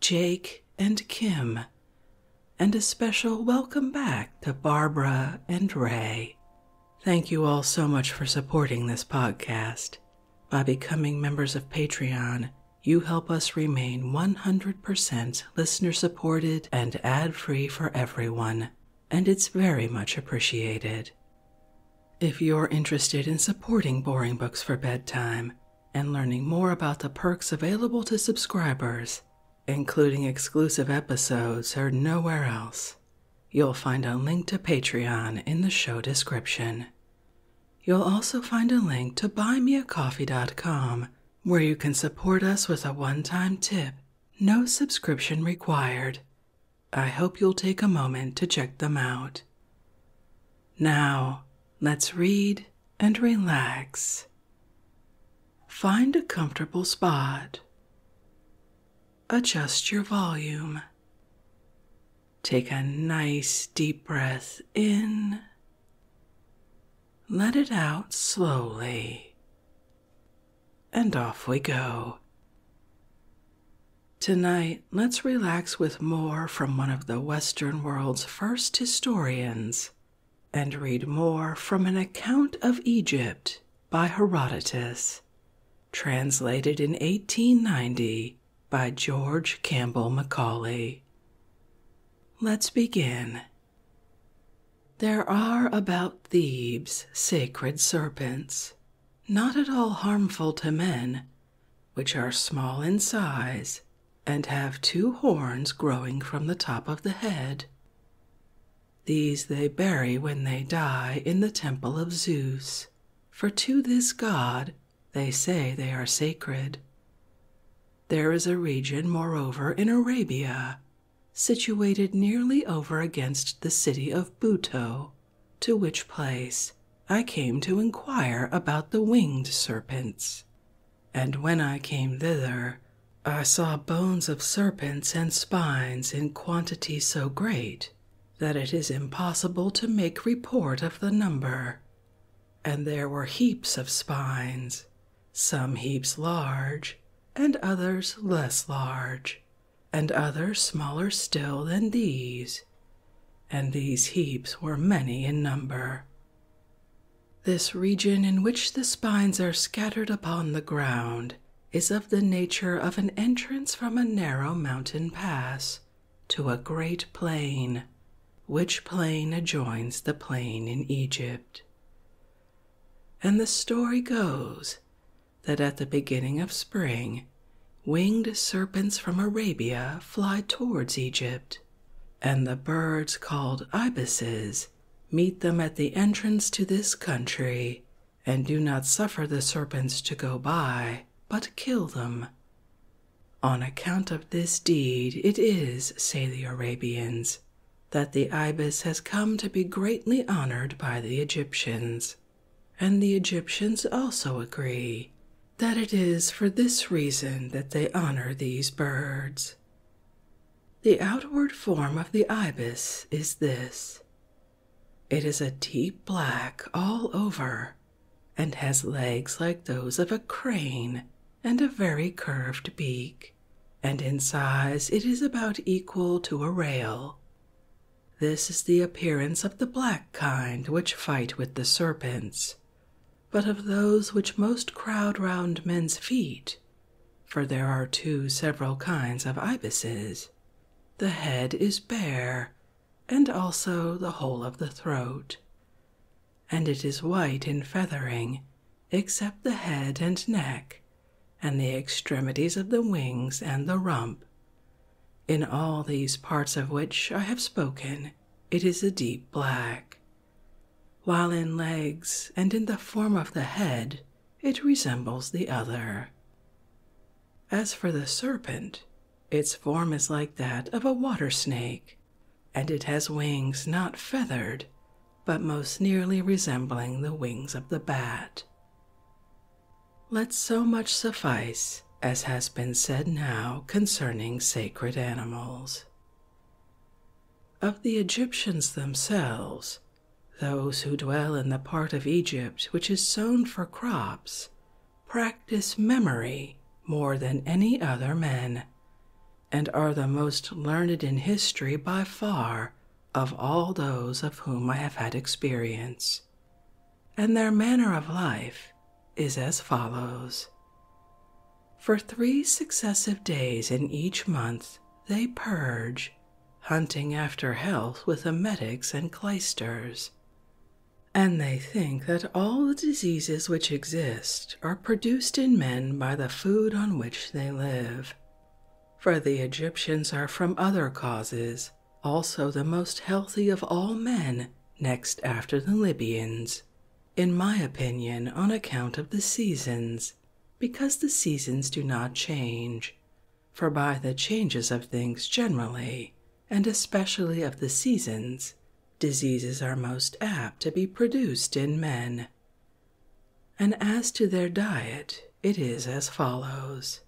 Jake and Kim, and a special welcome back to Barbara and Ray. Thank you all so much for supporting this podcast. By becoming members of Patreon, you help us remain 100% listener supported and ad free for everyone, and it's very much appreciated. If you're interested in supporting Boring Books for Bedtime, and learning more about the perks available to subscribers, including exclusive episodes heard nowhere else, you'll find a link to Patreon in the show description. You'll also find a link to buymeacoffee.com where you can support us with a one time tip, no subscription required. I hope you'll take a moment to check them out. Now, let's read and relax. Find a comfortable spot. Adjust your volume. Take a nice deep breath in. Let it out slowly. And off we go. Tonight, let's relax with more from one of the Western world's first historians and read more from an account of Egypt by Herodotus, translated in 1890 by George Campbell Macaulay. Let's begin. There are about Thebes sacred serpents, not at all harmful to men, which are small in size and have two horns growing from the top of the head. These they bury when they die in the temple of Zeus, for to this god they say they are sacred. There is a region, moreover, in Arabia, situated nearly over against the city of Buto, to which place I came to inquire about the winged serpents, and when I came thither, I saw bones of serpents and spines in quantity so great that it is impossible to make report of the number. And there were heaps of spines, some heaps large, and others less large, and others smaller still than these. And these heaps were many in number, this region in which the spines are scattered upon the ground is of the nature of an entrance from a narrow mountain pass to a great plain, which plain adjoins the plain in Egypt. And the story goes that at the beginning of spring, winged serpents from Arabia fly towards Egypt and the birds called ibises meet them at the entrance to this country, and do not suffer the serpents to go by, but kill them. On account of this deed, it is, say the Arabians, that the ibis has come to be greatly honored by the Egyptians, and the Egyptians also agree that it is for this reason that they honor these birds. The outward form of the ibis is this it is a deep black all over and has legs like those of a crane and a very curved beak, and in size it is about equal to a rail. This is the appearance of the black kind which fight with the serpents, but of those which most crowd round men's feet, for there are two several kinds of ibises. The head is bare, and also the whole of the throat, and it is white in feathering, except the head and neck, and the extremities of the wings and the rump. In all these parts of which I have spoken, it is a deep black, while in legs and in the form of the head, it resembles the other. As for the serpent, its form is like that of a water snake, and it has wings not feathered, but most nearly resembling the wings of the bat. Let so much suffice as has been said now concerning sacred animals, of the Egyptians themselves, those who dwell in the part of Egypt which is sown for crops practice memory more than any other men, and are the most learned in history by far of all those of whom I have had experience. And their manner of life is as follows for three successive days in each month, they purge, hunting after health with emetics and clysters. And they think that all the diseases which exist are produced in men by the food on which they live. For the Egyptians are from other causes, also the most healthy of all men, next after the Libyans, in my opinion, on account of the seasons, because the seasons do not change. For by the changes of things generally, and especially of the seasons, diseases are most apt to be produced in men. And as to their diet, it is as follows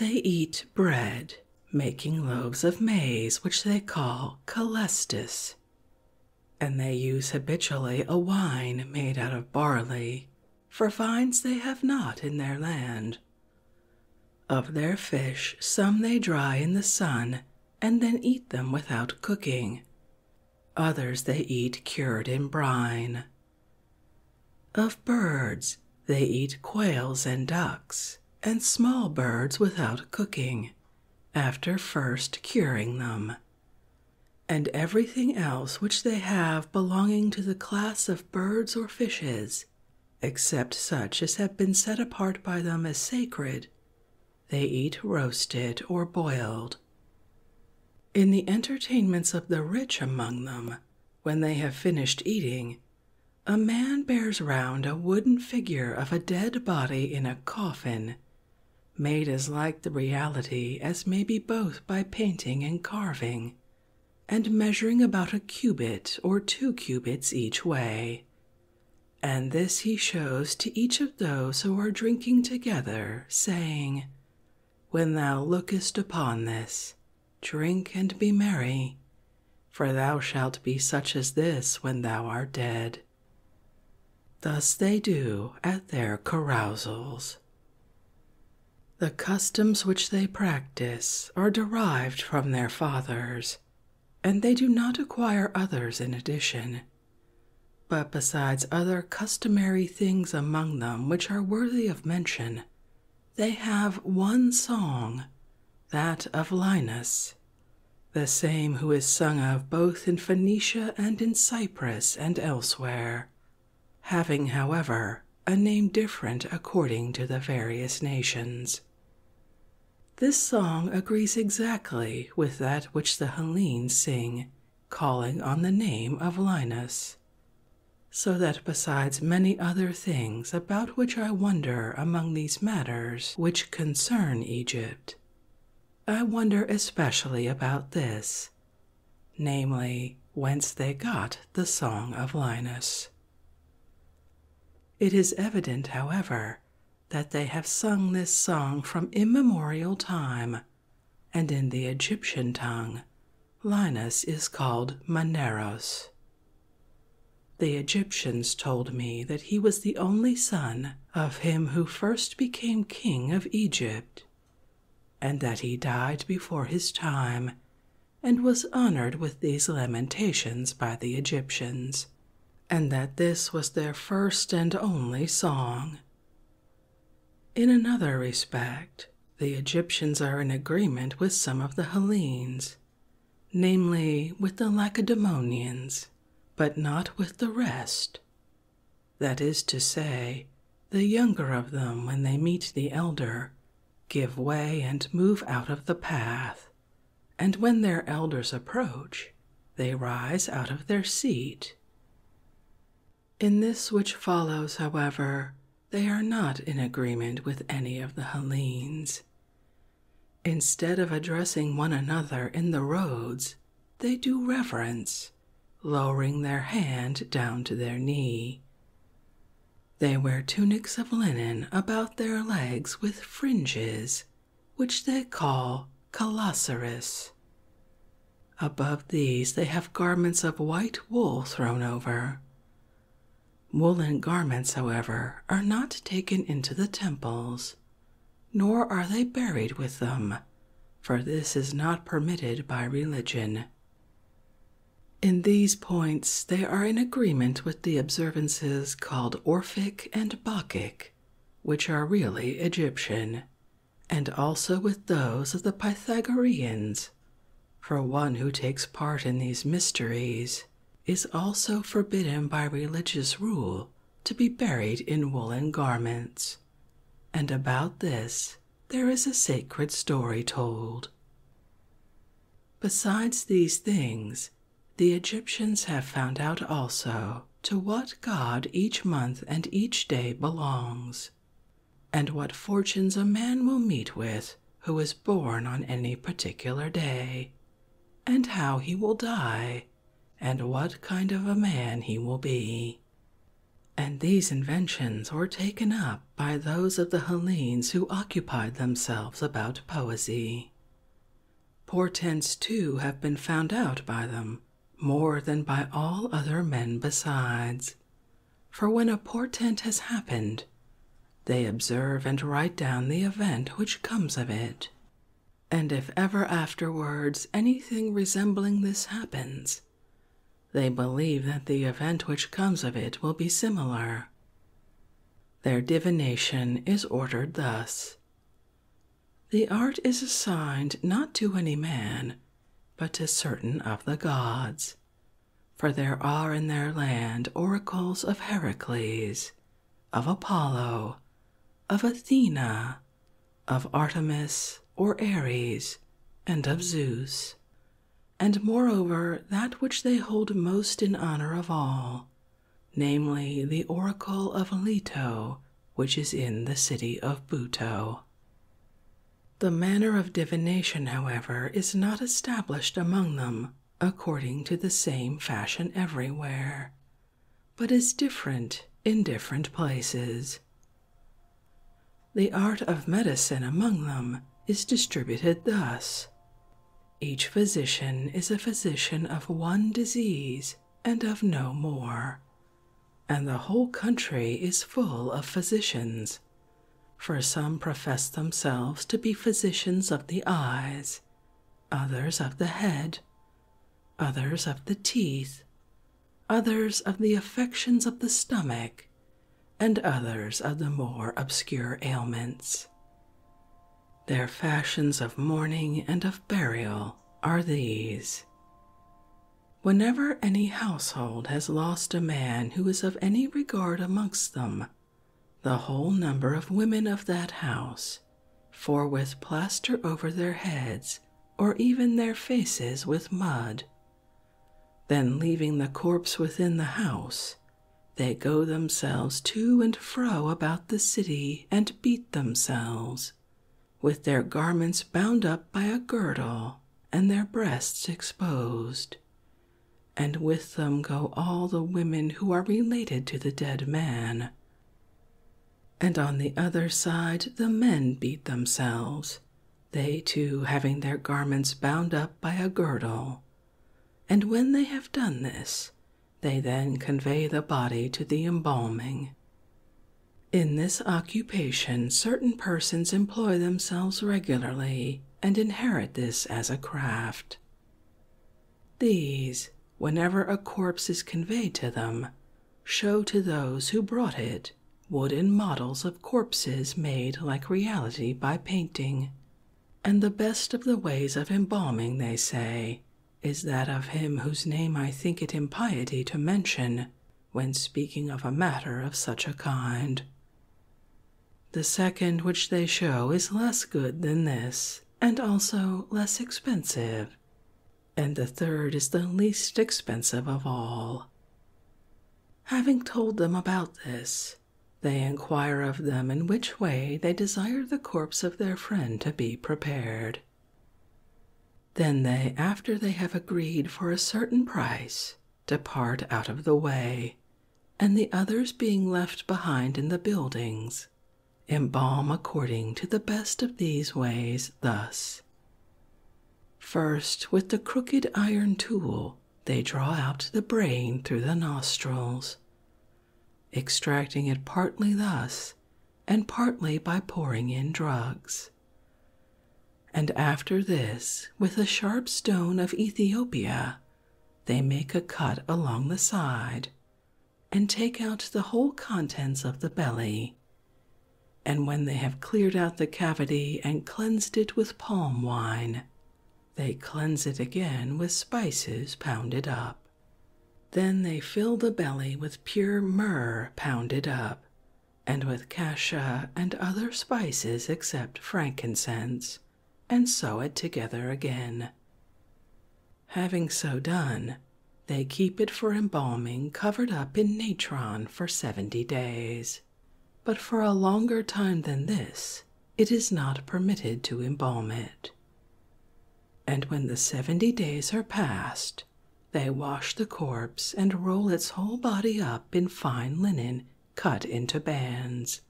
They eat bread, making loaves of maize, which they call calestis, and they use habitually a wine made out of barley, for vines they have not in their land. Of their fish, some they dry in the sun and then eat them without cooking. Others they eat cured in brine. Of birds, they eat quails and ducks, and small birds without cooking, after first curing them, and everything else which they have belonging to the class of birds or fishes, except such as have been set apart by them as sacred, they eat roasted or boiled. In the entertainments of the rich among them, when they have finished eating, a man bears round a wooden figure of a dead body in a coffin, made as like the reality as may be both by painting and carving, and measuring about a cubit or two cubits each way. And this he shows to each of those who are drinking together, saying, When thou lookest upon this, drink and be merry, for thou shalt be such as this when thou art dead. Thus they do at their carousals. The customs which they practice are derived from their fathers, and they do not acquire others in addition. But besides other customary things among them which are worthy of mention, they have one song, that of Linus, the same who is sung of both in Phoenicia and in Cyprus and elsewhere, having, however, a name different according to the various nations. This song agrees exactly with that which the Hellenes sing, calling on the name of Linus. So that besides many other things about which I wonder among these matters which concern Egypt, I wonder especially about this namely, whence they got the Song of Linus. It is evident, however, that they have sung this song from immemorial time, and in the Egyptian tongue, Linus is called Maneros. The Egyptians told me that he was the only son of him who first became king of Egypt, and that he died before his time and was honored with these lamentations by the Egyptians, and that this was their first and only song. In another respect, the Egyptians are in agreement with some of the Hellenes, namely with the Lacedaemonians but not with the rest. That is to say, the younger of them, when they meet the elder, give way and move out of the path, and when their elders approach, they rise out of their seat. In this which follows, however, they are not in agreement with any of the Hellenes. Instead of addressing one another in the roads, they do reverence, lowering their hand down to their knee. They wear tunics of linen about their legs with fringes, which they call colossaris. Above these, they have garments of white wool thrown over. Woolen garments, however, are not taken into the temples nor are they buried with them, for this is not permitted by religion. In these points, they are in agreement with the observances called Orphic and Bacchic, which are really Egyptian, and also with those of the Pythagoreans. For one who takes part in these mysteries is also forbidden by religious rule to be buried in woolen garments, and about this there is a sacred story told. Besides these things, the Egyptians have found out also to what god each month and each day belongs, and what fortunes a man will meet with who is born on any particular day, and how he will die, and what kind of a man he will be. And these inventions were taken up by those of the Hellenes who occupied themselves about poesy. Portents, too, have been found out by them more than by all other men besides. For when a portent has happened, they observe and write down the event which comes of it, and if ever afterwards anything resembling this happens, they believe that the event which comes of it will be similar. Their divination is ordered thus. The art is assigned not to any man, but to certain of the gods, for there are in their land oracles of Heracles, of Apollo, of Athena, of Artemis or Ares, and of Zeus, and moreover that which they hold most in honor of all, namely the oracle of Leto, which is in the city of Buto. The manner of divination, however, is not established among them according to the same fashion everywhere, but is different in different places. The art of medicine among them is distributed thus each physician is a physician of one disease and of no more, and the whole country is full of physicians. For some profess themselves to be physicians of the eyes, others of the head, others of the teeth, others of the affections of the stomach, and others of the more obscure ailments. Their fashions of mourning and of burial are these. Whenever any household has lost a man who is of any regard amongst them, the whole number of women of that house for with plaster over their heads or even their faces with mud. Then, leaving the corpse within the house, they go themselves to and fro about the city and beat themselves, with their garments bound up by a girdle and their breasts exposed. And with them go all the women who are related to the dead man. And on the other side, the men beat themselves, they too having their garments bound up by a girdle. And when they have done this, they then convey the body to the embalming. In this occupation, certain persons employ themselves regularly and inherit this as a craft. These, whenever a corpse is conveyed to them, show to those who brought it wooden models of corpses made like reality by painting. And the best of the ways of embalming, they say, is that of him whose name I think it impiety to mention when speaking of a matter of such a kind. The second which they show is less good than this, and also less expensive, and the third is the least expensive of all. Having told them about this, they inquire of them in which way they desire the corpse of their friend to be prepared. Then they, after they have agreed for a certain price, depart out of the way, and the others being left behind in the buildings, Embalm according to the best of these ways, thus. First, with the crooked iron tool, they draw out the brain through the nostrils, extracting it partly thus and partly by pouring in drugs. And after this, with a sharp stone of Ethiopia, they make a cut along the side, and take out the whole contents of the belly. And when they have cleared out the cavity and cleansed it with palm wine, they cleanse it again with spices pounded up. Then they fill the belly with pure myrrh pounded up, and with cassia and other spices except frankincense, and sew it together again. Having so done, they keep it for embalming covered up in natron for 70 days, but for a longer time than this, it is not permitted to embalm it. And when the 70 days are past, they wash the corpse and roll its whole body up in fine linen cut into bands,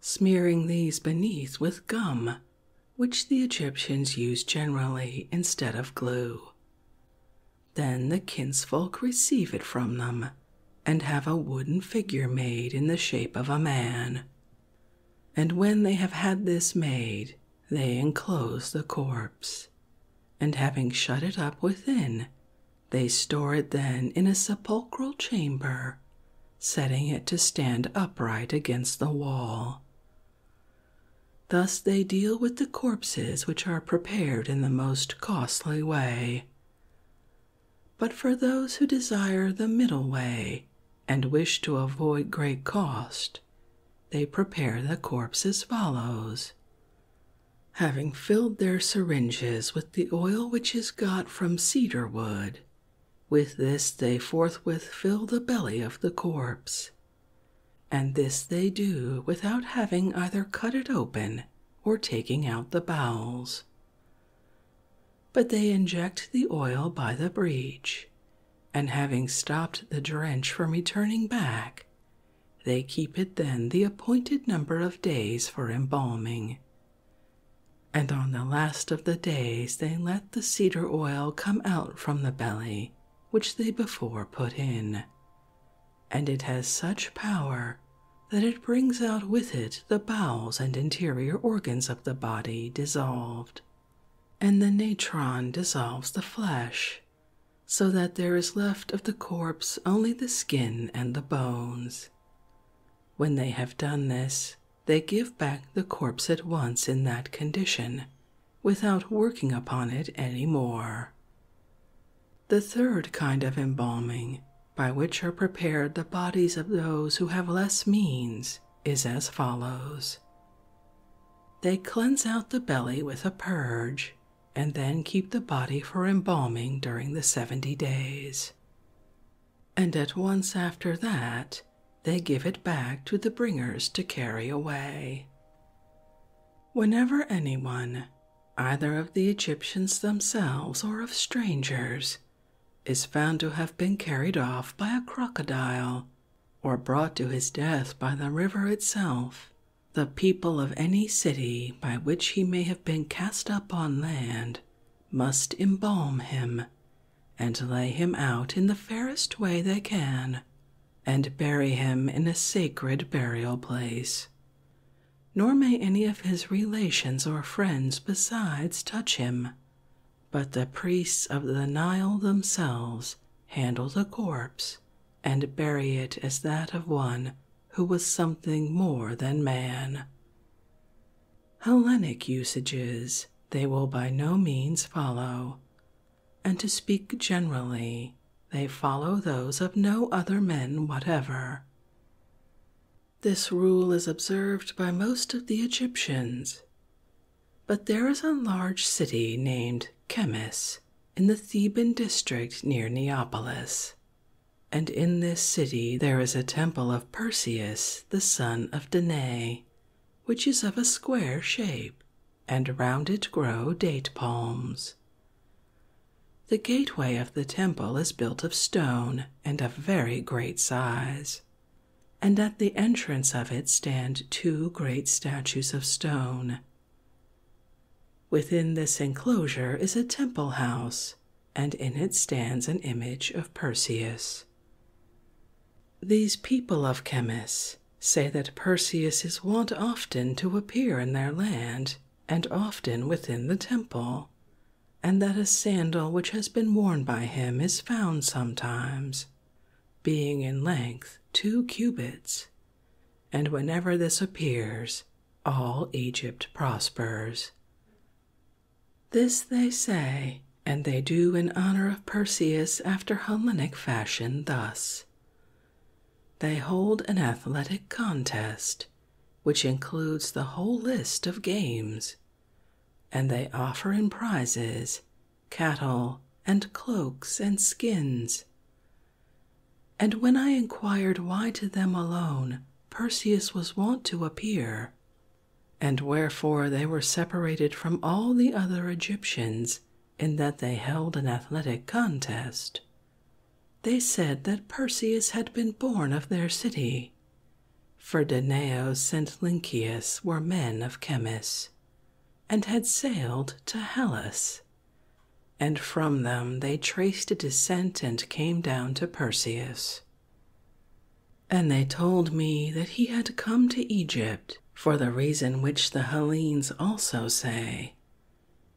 smearing these beneath with gum, which the Egyptians use generally instead of glue, then the kinsfolk receive it from them and have a wooden figure made in the shape of a man. And when they have had this made, they enclose the corpse, and having shut it up within, they store it then in a sepulchral chamber, setting it to stand upright against the wall, Thus they deal with the corpses which are prepared in the most costly way. But for those who desire the middle way and wish to avoid great cost, they prepare the corpse as follows. Having filled their syringes with the oil which is got from cedar wood, with this they forthwith fill the belly of the corpse, and this they do without having either cut it open or taking out the bowels. But they inject the oil by the breach, and having stopped the drench from returning back, they keep it then the appointed number of days for embalming. And on the last of the days they let the cedar oil come out from the belly which they before put in, and it has such power that it brings out with it the bowels and interior organs of the body dissolved, and the natron dissolves the flesh, so that there is left of the corpse only the skin and the bones. When they have done this, they give back the corpse at once in that condition without working upon it any more. The third kind of embalming, by which are prepared the bodies of those who have less means, is as follows They cleanse out the belly with a purge, and then keep the body for embalming during the seventy days. And at once after that, they give it back to the bringers to carry away. Whenever any one, either of the Egyptians themselves or of strangers, is found to have been carried off by a crocodile or brought to his death by the river itself, the people of any city by which he may have been cast up on land must embalm him and lay him out in the fairest way they can and bury him in a sacred burial place. Nor may any of his relations or friends besides touch him, but the priests of the Nile themselves handle the corpse and bury it as that of one who was something more than man. Hellenic usages they will by no means follow, and to speak generally, they follow those of no other men whatever. This rule is observed by most of the Egyptians. But there is a large city named Chemis in the Theban district near Neapolis, and in this city there is a temple of Perseus, the son of Danae, which is of a square shape and round it grow date palms. The gateway of the temple is built of stone and of very great size, and at the entrance of it stand two great statues of stone. Within this enclosure is a temple house, and in it stands an image of Perseus. These people of Chemis say that Perseus is wont often to appear in their land, and often within the temple, and that a sandal which has been worn by him is found sometimes, being in length two cubits, and whenever this appears, all Egypt prospers. This they say, and they do in honor of Perseus after Hellenic fashion thus. They hold an athletic contest, which includes the whole list of games, and they offer in prizes cattle and cloaks and skins. And when I inquired why to them alone Perseus was wont to appear, and wherefore they were separated from all the other Egyptians in that they held an athletic contest. They said that Perseus had been born of their city, for Danaos and Lynceus were men of Chemis, and had sailed to Hellas, and from them they traced a descent and came down to Perseus. And they told me that he had come to Egypt for the reason which the Hellenes also say,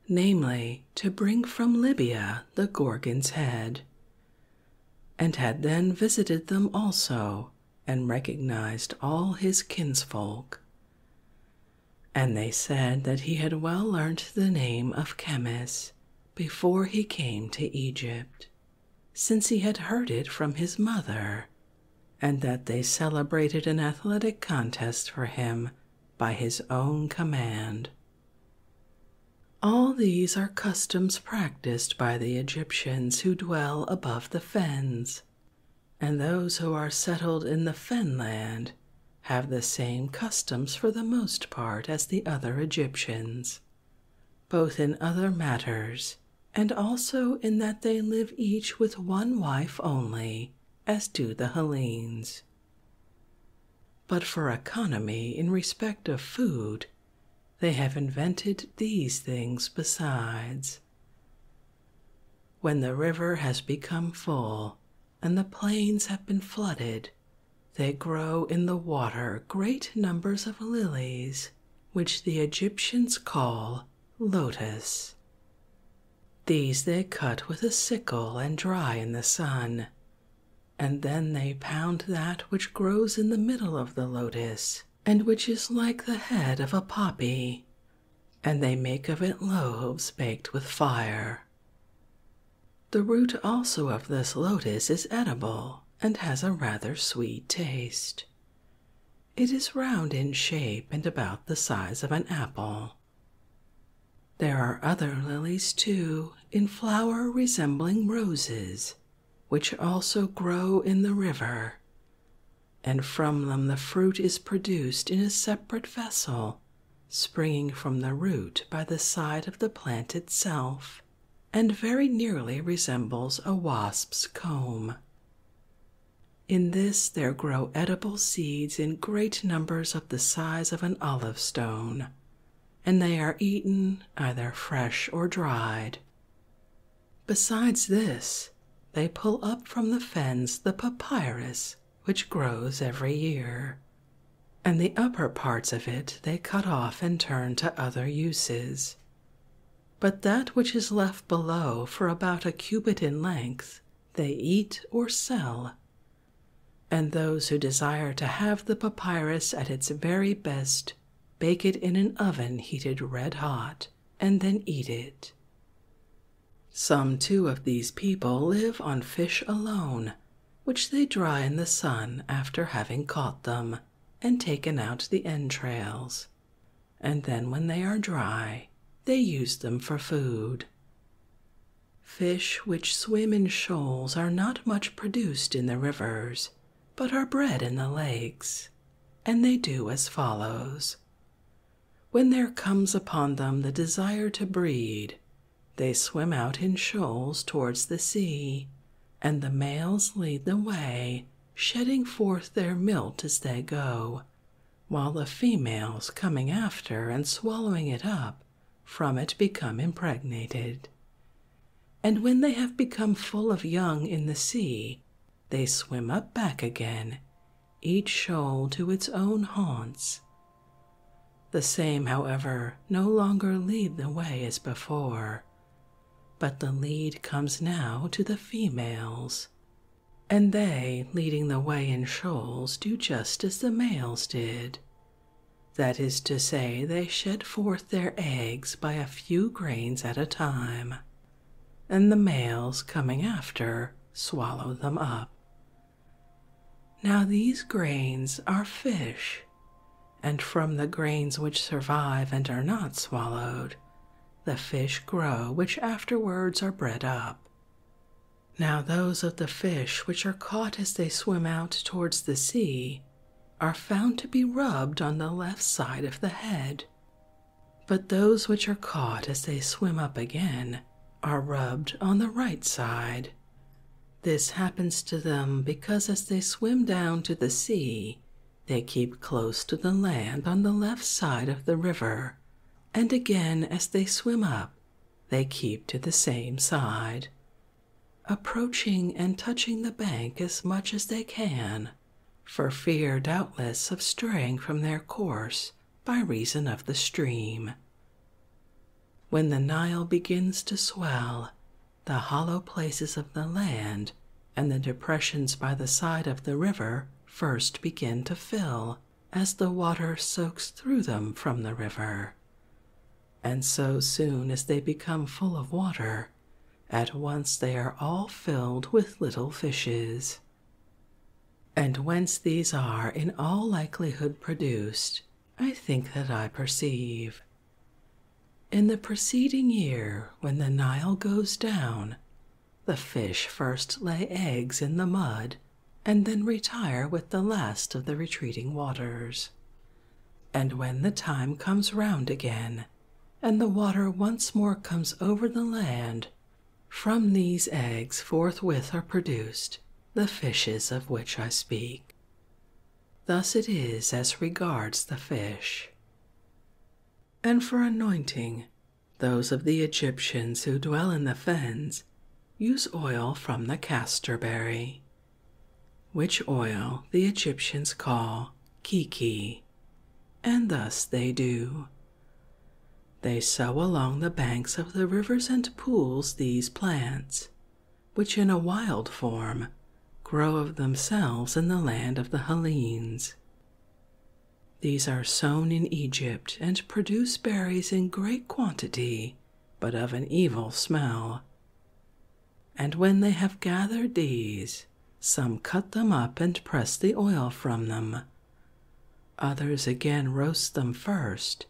namely, to bring from Libya the Gorgon's head, and had then visited them also, and recognized all his kinsfolk. And they said that he had well learnt the name of Chemis before he came to Egypt, since he had heard it from his mother and that they celebrated an athletic contest for him by his own command. All these are customs practiced by the Egyptians who dwell above the fens, and those who are settled in the fenland have the same customs for the most part as the other Egyptians, both in other matters and also in that they live each with one wife only as do the Hellenes. But for economy in respect of food, they have invented these things besides. When the river has become full and the plains have been flooded, they grow in the water great numbers of lilies, which the Egyptians call lotus. These they cut with a sickle and dry in the sun, and then they pound that which grows in the middle of the lotus and which is like the head of a poppy, and they make of it loaves baked with fire. The root also of this lotus is edible and has a rather sweet taste. It is round in shape and about the size of an apple. There are other lilies, too, in flower resembling roses, which also grow in the river, and from them the fruit is produced in a separate vessel, springing from the root by the side of the plant itself, and very nearly resembles a wasp's comb. In this there grow edible seeds in great numbers of the size of an olive stone, and they are eaten either fresh or dried. Besides this, they pull up from the fens the papyrus which grows every year, and the upper parts of it they cut off and turn to other uses. But that which is left below for about a cubit in length they eat or sell, and those who desire to have the papyrus at its very best bake it in an oven heated red hot and then eat it. Some two of these people live on fish alone, which they dry in the sun after having caught them and taken out the entrails, and then when they are dry, they use them for food. Fish which swim in shoals are not much produced in the rivers, but are bred in the lakes, and they do as follows. When there comes upon them the desire to breed, they swim out in shoals towards the sea, and the males lead the way, shedding forth their milt as they go, while the females coming after and swallowing it up from it become impregnated. And when they have become full of young in the sea, they swim up back again, each shoal to its own haunts. The same, however, no longer lead the way as before, but the lead comes now to the females, and they, leading the way in shoals, do just as the males did. That is to say, they shed forth their eggs by a few grains at a time, and the males, coming after, swallow them up. Now these grains are fish, and from the grains which survive and are not swallowed, the fish grow which afterwards are bred up. Now, those of the fish which are caught as they swim out towards the sea are found to be rubbed on the left side of the head, but those which are caught as they swim up again are rubbed on the right side. This happens to them because as they swim down to the sea, they keep close to the land on the left side of the river, and again as they swim up, they keep to the same side, approaching and touching the bank as much as they can, for fear, doubtless, of straying from their course by reason of the stream. When the Nile begins to swell, the hollow places of the land and the depressions by the side of the river first begin to fill as the water soaks through them from the river. And so soon as they become full of water, at once they are all filled with little fishes. And whence these are in all likelihood produced, I think that I perceive. In the preceding year, when the Nile goes down, the fish first lay eggs in the mud and then retire with the last of the retreating waters. And when the time comes round again, and the water once more comes over the land, from these eggs forthwith are produced the fishes of which I speak. Thus it is as regards the fish. And for anointing, those of the Egyptians who dwell in the fens use oil from the castorberry, which oil the Egyptians call kiki, and thus they do. They sow along the banks of the rivers and pools these plants, which in a wild form grow of themselves in the land of the Hellenes. These are sown in Egypt and produce berries in great quantity, but of an evil smell. And when they have gathered these, some cut them up and press the oil from them. Others again roast them first,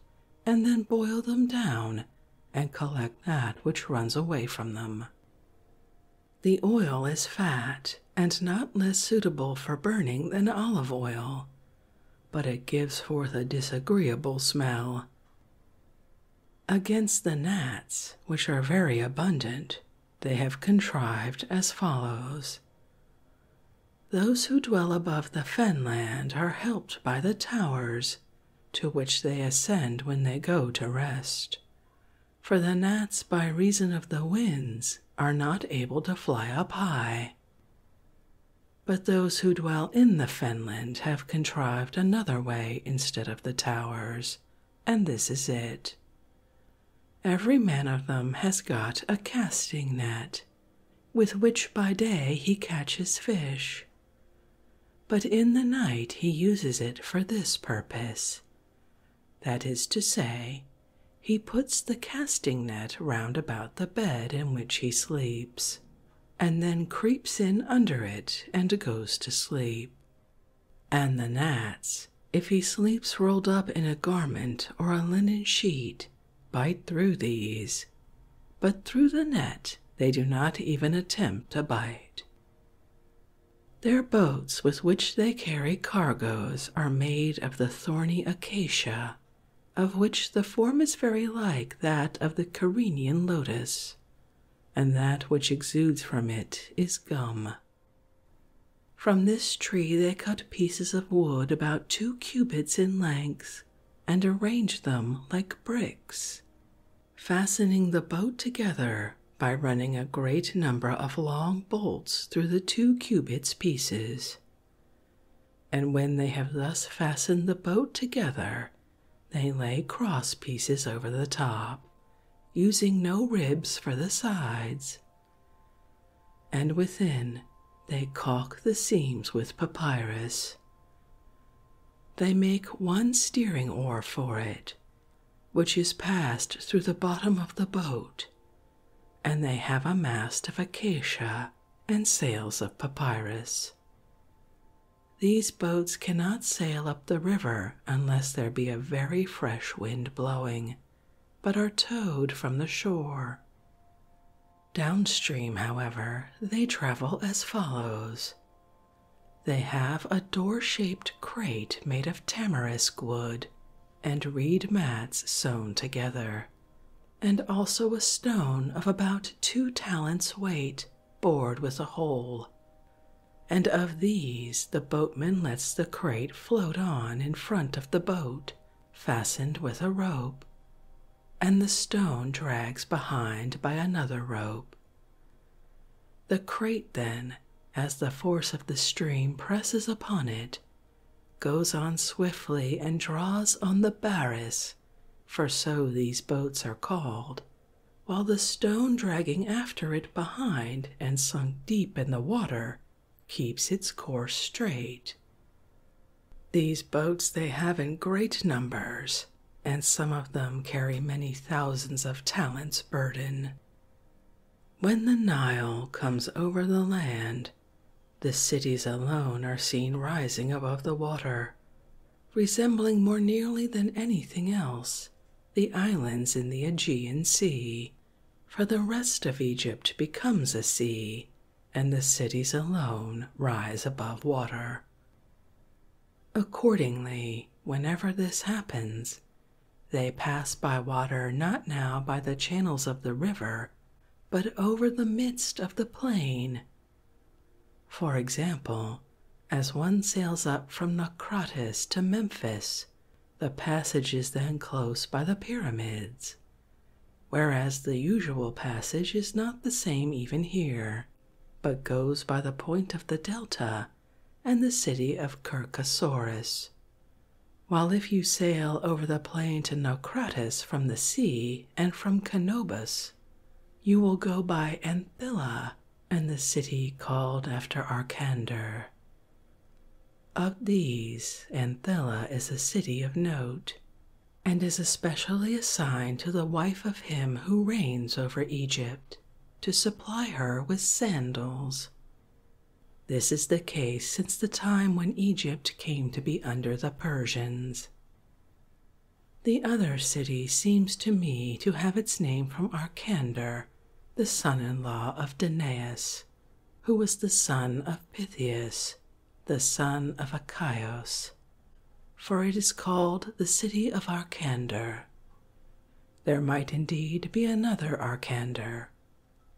and then boil them down, and collect that which runs away from them. The oil is fat and not less suitable for burning than olive oil, but it gives forth a disagreeable smell. Against the gnats, which are very abundant, they have contrived as follows. Those who dwell above the fenland are helped by the towers, to which they ascend when they go to rest. For the gnats, by reason of the winds, are not able to fly up high. But those who dwell in the fenland have contrived another way instead of the towers, and this is it. Every man of them has got a casting net, with which by day he catches fish. But in the night he uses it for this purpose. That is to say, he puts the casting net round about the bed in which he sleeps and then creeps in under it and goes to sleep. And the gnats, if he sleeps rolled up in a garment or a linen sheet, bite through these, but through the net they do not even attempt a bite. Their boats with which they carry cargoes are made of the thorny acacia of which the form is very like that of the Carinian lotus, and that which exudes from it is gum. From this tree they cut pieces of wood about two cubits in length and arrange them like bricks, fastening the boat together by running a great number of long bolts through the two cubits pieces, and when they have thus fastened the boat together, they lay cross pieces over the top, using no ribs for the sides. And within, they caulk the seams with papyrus. They make one steering oar for it, which is passed through the bottom of the boat, and they have a mast of acacia and sails of papyrus. These boats cannot sail up the river unless there be a very fresh wind blowing, but are towed from the shore. Downstream, however, they travel as follows. They have a door shaped crate made of tamarisk wood and reed mats sewn together and also a stone of about two talents' weight, bored with a hole. And of these the boatman lets the crate float on in front of the boat, fastened with a rope, and the stone drags behind by another rope. The crate then, as the force of the stream presses upon it, goes on swiftly and draws on the barris for so these boats are called, while the stone dragging after it behind and sunk deep in the water keeps its course straight. These boats they have in great numbers, and some of them carry many thousands of talents' burden. When the Nile comes over the land, the cities alone are seen rising above the water, resembling more nearly than anything else the islands in the Aegean Sea. For the rest of Egypt becomes a sea, and the cities alone rise above water. Accordingly, whenever this happens, they pass by water not now by the channels of the river, but over the midst of the plain for example, as one sails up from Naucratis to Memphis, the passage is then close by the pyramids, whereas the usual passage is not the same even here, but goes by the point of the delta and the city of Kirkosaurus. While if you sail over the plain to Naucratis from the sea and from Canobus, you will go by Anthilla and the city called after Arcander. Of these, Anthilla is a city of note, and is especially assigned to the wife of him who reigns over Egypt to supply her with sandals. This is the case since the time when Egypt came to be under the Persians. The other city seems to me to have its name from Arcander, the son in law of Danaus, who was the son of Pythias, the son of Achaeus, for it is called the city of Arcander. There might indeed be another Arcander,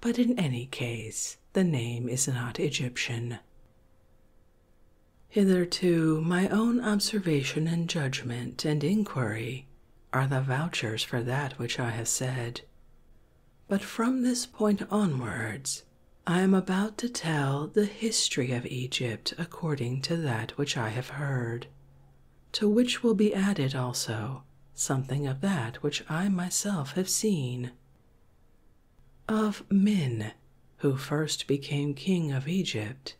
but in any case the name is not Egyptian. Hitherto, my own observation and judgment and inquiry are the vouchers for that which I have said. But from this point onwards, I am about to tell the history of Egypt according to that which I have heard, to which will be added also something of that which I myself have seen. Of Men, who first became king of Egypt,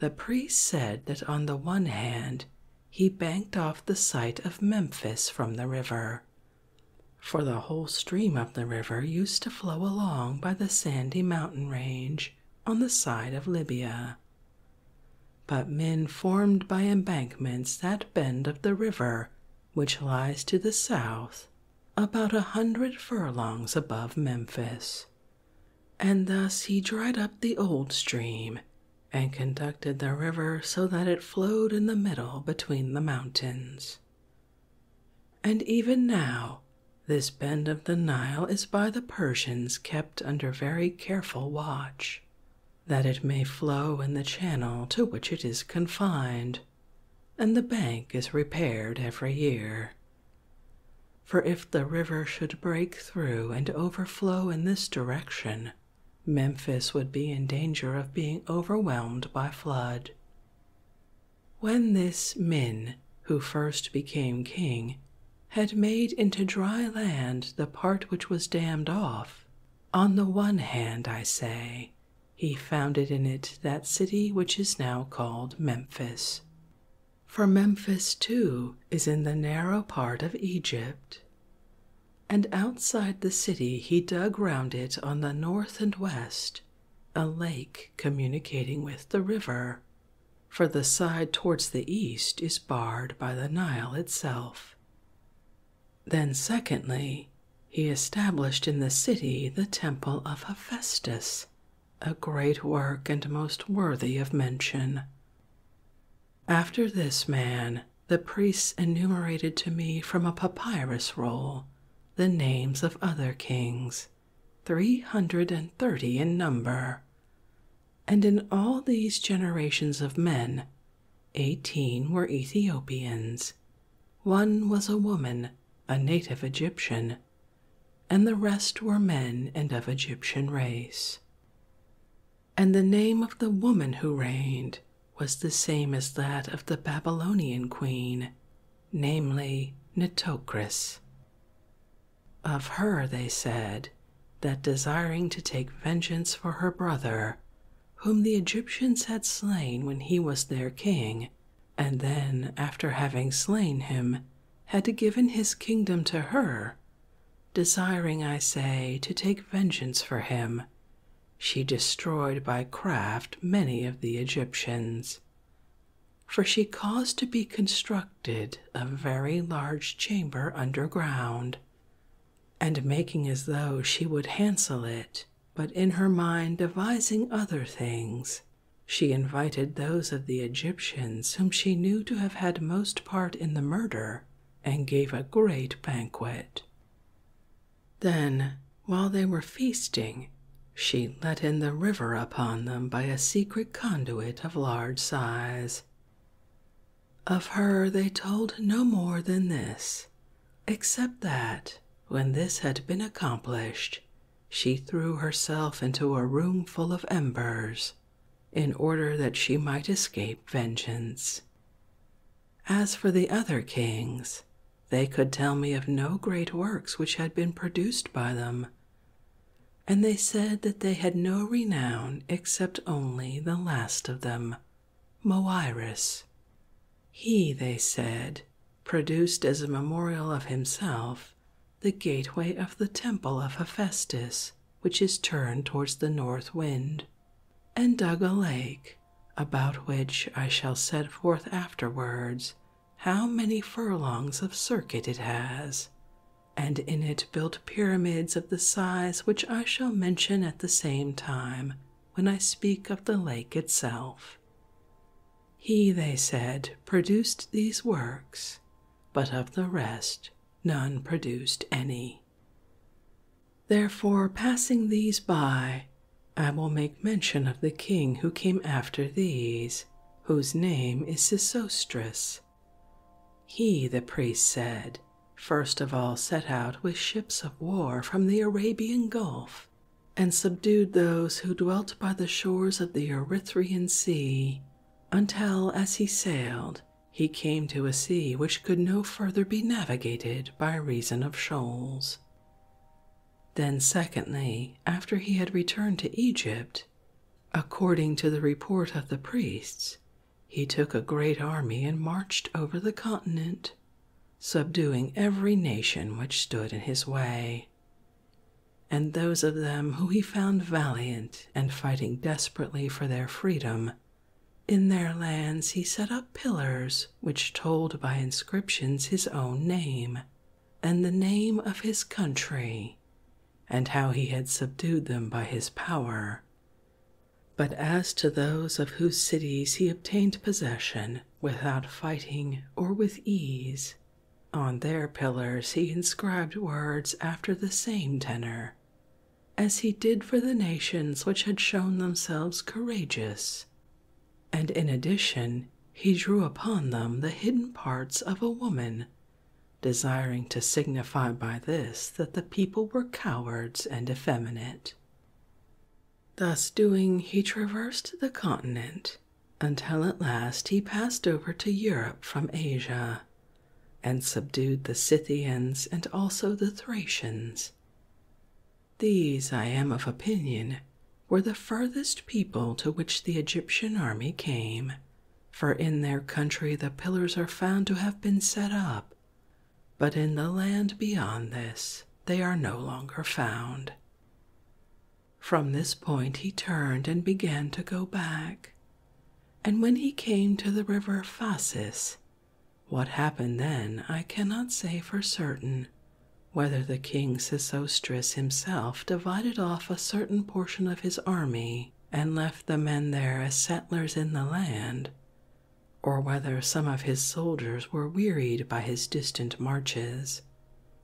the priests said that on the one hand he banked off the site of Memphis from the river, for the whole stream of the river used to flow along by the sandy mountain range on the side of Libya. But men formed by embankments that bend of the river which lies to the south about a hundred furlongs above Memphis, and thus he dried up the old stream and conducted the river so that it flowed in the middle between the mountains. And even now, this bend of the Nile is by the Persians kept under very careful watch, that it may flow in the channel to which it is confined, and the bank is repaired every year. For if the river should break through and overflow in this direction, Memphis would be in danger of being overwhelmed by flood. When this Min, who first became king, had made into dry land the part which was dammed off, on the one hand, I say, he founded in it that city which is now called Memphis. For Memphis, too, is in the narrow part of Egypt. And outside the city, he dug round it on the north and west a lake communicating with the river, for the side towards the east is barred by the Nile itself. Then, secondly, he established in the city the temple of Hephaestus, a great work and most worthy of mention. After this man, the priests enumerated to me from a papyrus roll the names of other kings, three hundred and thirty in number, and in all these generations of men, eighteen were Ethiopians. One was a woman, a native Egyptian, and the rest were men and of Egyptian race. And the name of the woman who reigned was the same as that of the Babylonian queen, namely Nitocris. Of her they said that desiring to take vengeance for her brother, whom the Egyptians had slain when he was their king, and then, after having slain him, had given his kingdom to her, desiring, I say, to take vengeance for him. She destroyed by craft many of the Egyptians. For she caused to be constructed a very large chamber underground, and making as though she would hansel it, but in her mind devising other things, she invited those of the Egyptians whom she knew to have had most part in the murder and gave a great banquet. Then, while they were feasting, she let in the river upon them by a secret conduit of large size. Of her they told no more than this, except that, when this had been accomplished, she threw herself into a room full of embers in order that she might escape vengeance. As for the other kings, they could tell me of no great works which had been produced by them, and they said that they had no renown except only the last of them, Moiris. He, they said, produced as a memorial of himself the gateway of the temple of Hephaestus, which is turned towards the north wind, and dug a lake, about which I shall set forth afterwards how many furlongs of circuit it has, and in it built pyramids of the size which I shall mention at the same time when I speak of the lake itself. He, they said, produced these works, but of the rest none produced any. Therefore, passing these by, I will make mention of the king who came after these, whose name is Sesostris. He, the priest said, first of all set out with ships of war from the Arabian Gulf and subdued those who dwelt by the shores of the Erythrian Sea, until as he sailed, he came to a sea which could no further be navigated by reason of shoals. Then, secondly, after he had returned to Egypt, according to the report of the priests, he took a great army and marched over the continent, subduing every nation which stood in his way, and those of them who he found valiant and fighting desperately for their freedom. In their lands he set up pillars which told by inscriptions his own name and the name of his country, and how he had subdued them by his power. But as to those of whose cities he obtained possession without fighting or with ease, on their pillars he inscribed words after the same tenor, as he did for the nations which had shown themselves courageous, and in addition he drew upon them the hidden parts of a woman, desiring to signify by this that the people were cowards and effeminate. Thus doing, he traversed the continent until at last he passed over to Europe from Asia and subdued the Scythians and also the Thracians. These, I am of opinion, were the furthest people to which the Egyptian army came, for in their country the pillars are found to have been set up, but in the land beyond this they are no longer found. From this point he turned and began to go back. And when he came to the river Phasis, what happened then I cannot say for certain, whether the king Sesostris himself divided off a certain portion of his army and left the men there as settlers in the land, or whether some of his soldiers were wearied by his distant marches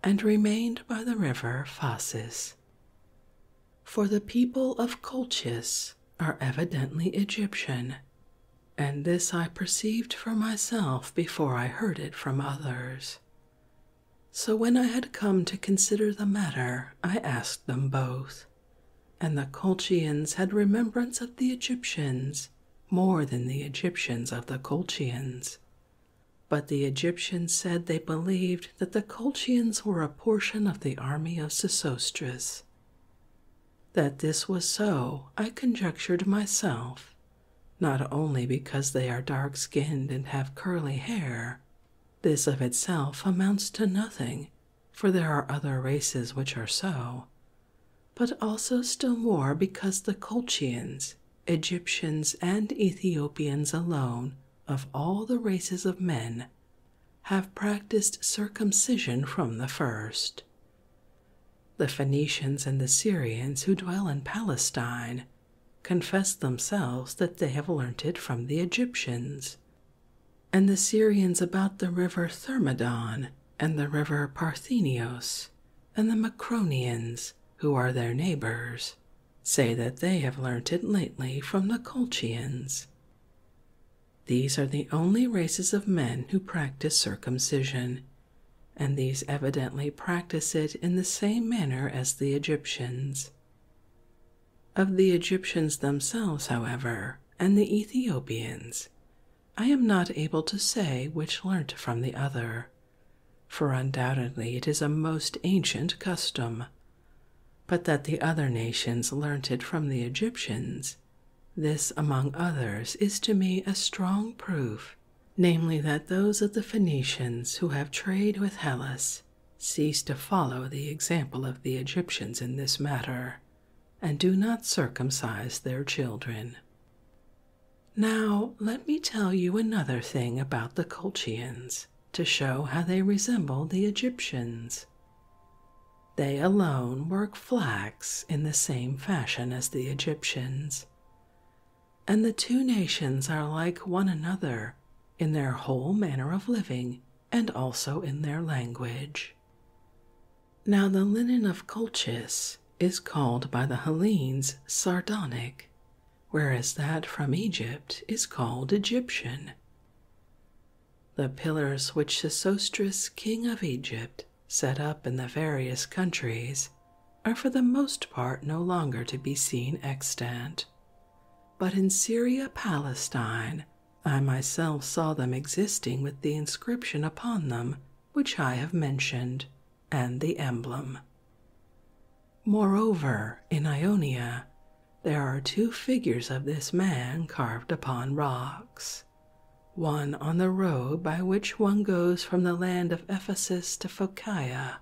and remained by the river Phasis. For the people of Colchis are evidently Egyptian, and this I perceived for myself before I heard it from others. So when I had come to consider the matter, I asked them both, and the Colchians had remembrance of the Egyptians more than the Egyptians of the Colchians, but the Egyptians said they believed that the Colchians were a portion of the army of Sesostris. That this was so, I conjectured myself, not only because they are dark skinned and have curly hair, this of itself amounts to nothing, for there are other races which are so, but also still more because the Colchians Egyptians and Ethiopians alone, of all the races of men, have practiced circumcision from the first. The Phoenicians and the Syrians who dwell in Palestine confess themselves that they have learnt it from the Egyptians, and the Syrians about the river Thermodon and the river Parthenios, and the Macronians, who are their neighbors, say that they have learnt it lately from the Colchians. These are the only races of men who practice circumcision, and these evidently practice it in the same manner as the Egyptians. Of the Egyptians themselves, however, and the Ethiopians, I am not able to say which learnt from the other for undoubtedly it is a most ancient custom, but that the other nations learnt it from the Egyptians. This, among others, is to me a strong proof, namely, that those of the Phoenicians who have trade with Hellas cease to follow the example of the Egyptians in this matter, and do not circumcise their children. Now, let me tell you another thing about the Colchians to show how they resemble the Egyptians. They alone work flax in the same fashion as the Egyptians, and the two nations are like one another in their whole manner of living and also in their language. Now, the linen of Colchis is called by the Hellenes sardonic whereas that from Egypt is called Egyptian. The pillars which Sesostris, king of Egypt, set up in the various countries are for the most part no longer to be seen extant. But in Syria, Palestine, I myself saw them existing with the inscription upon them which I have mentioned, and the emblem. Moreover, in Ionia, there are two figures of this man carved upon rocks, one on the road by which one goes from the land of Ephesus to Phocaea,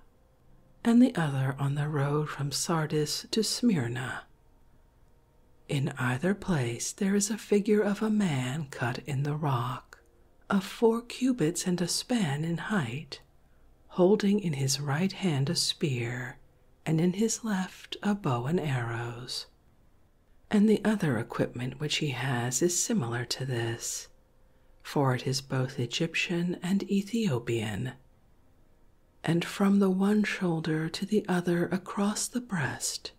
and the other on the road from Sardis to Smyrna. In either place there is a figure of a man cut in the rock, of four cubits and a span in height, holding in his right hand a spear, and in his left a bow and arrows. And the other equipment which he has is similar to this, for it is both Egyptian and Ethiopian. And from the one shoulder to the other across the breast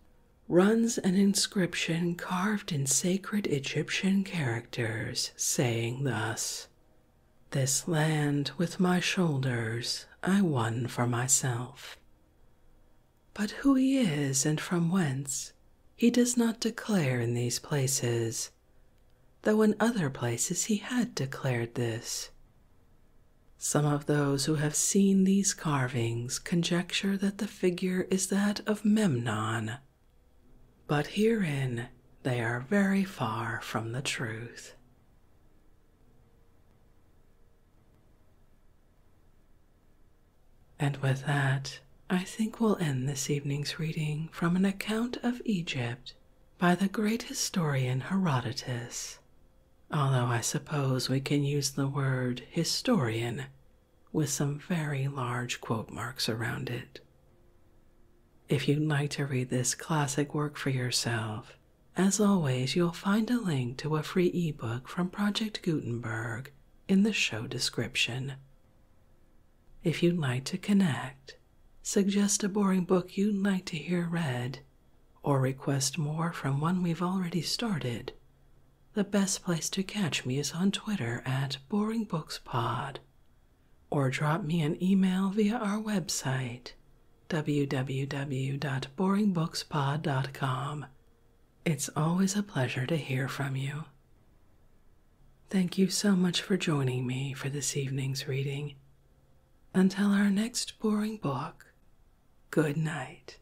runs an inscription carved in sacred Egyptian characters, saying thus this land with my shoulders I won for myself. But who he is and from whence he does not declare in these places, though in other places he had declared this. Some of those who have seen these carvings conjecture that the figure is that of Memnon, but herein they are very far from the truth. And with that, I think we'll end this evening's reading from an account of Egypt by the great historian Herodotus, although I suppose we can use the word historian with some very large quote marks around it. If you'd like to read this classic work for yourself, as always, you'll find a link to a free ebook from Project Gutenberg in the show description. If you'd like to connect, suggest a boring book you'd like to hear read, or request more from one we've already started, the best place to catch me is on Twitter at BoringBooksPod or drop me an email via our website www.boringbookspod.com. It's always a pleasure to hear from you. Thank you so much for joining me for this evening's reading. Until our next boring book, good night.